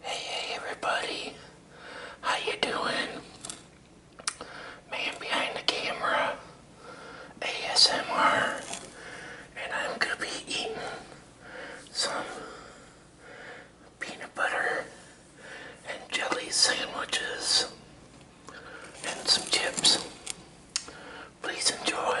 Hey, everybody, how you doing? Man behind the camera, ASMR, and I'm gonna be eating some peanut butter and jelly sandwiches and some chips. Please enjoy.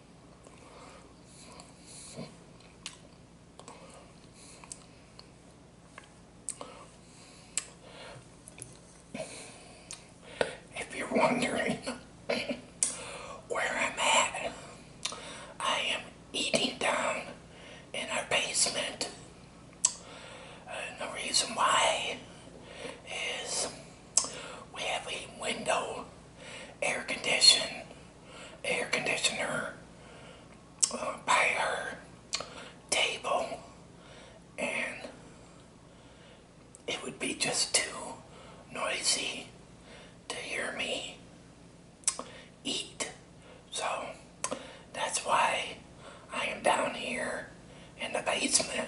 If you're wondering where I'm at, I am eating down in our basement. the reason why is we have a window air condition, air conditioner uh, by her table, and it would be just too noisy to hear me eat. So that's why I am down here in the basement.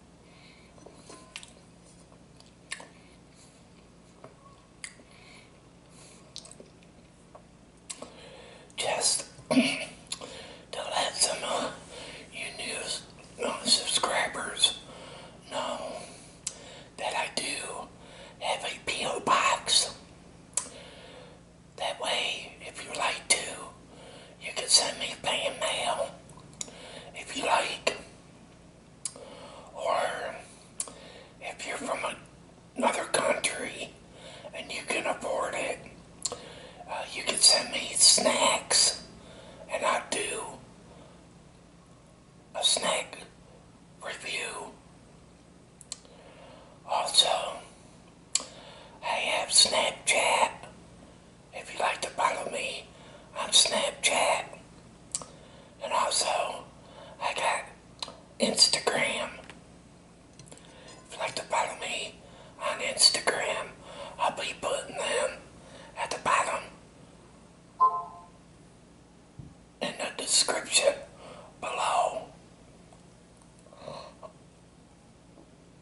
Just don't let some of you new subscribers know that I do have a P.O. box. That way, if you like to, you can send me fan mail if you like. Or if you're from another country and you can afford it, uh, you can send me snacks. And I do a snack review. Also, I have Snapchat if you'd like to follow me on Snapchat. And also, I got Instagram. If you'd like to follow me on Instagram, I'll be putting them at the bottom in the description below.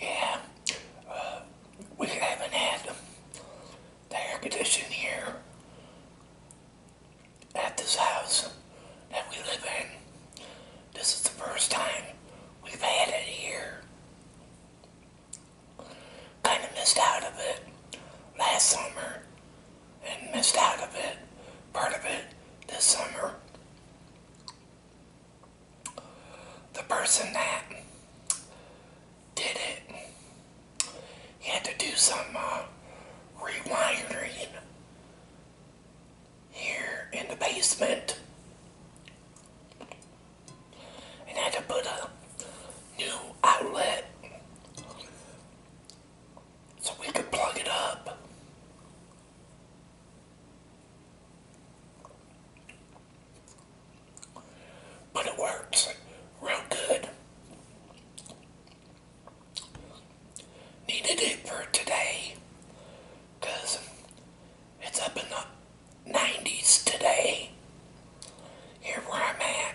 Yeah, uh, we haven't had the air conditioning here at this house that we live in. This is the first time we've had it here. Kind of missed out of it last summer and missed out of it, part of it this summer. The person that did it, he had to do some uh, rewiring here in the basement and had to put a new outlet so we could plug it up. But it works real good. Needed it for today because it's up in the 90s today. Here where I'm at.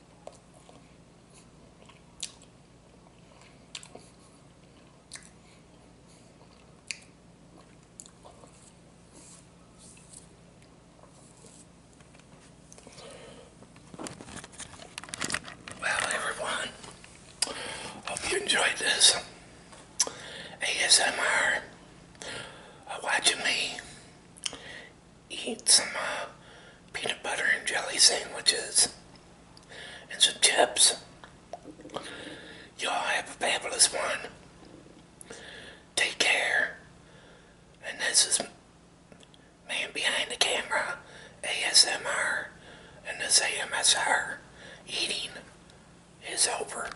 Well, everyone, hope you enjoyed this ASMR uh, watching me eat some uh, peanut butter and jelly sandwiches and some chips. Y'all have a fabulous one. Take care. And this is Man Behind the Camera, ASMR, and this AMSR eating is over.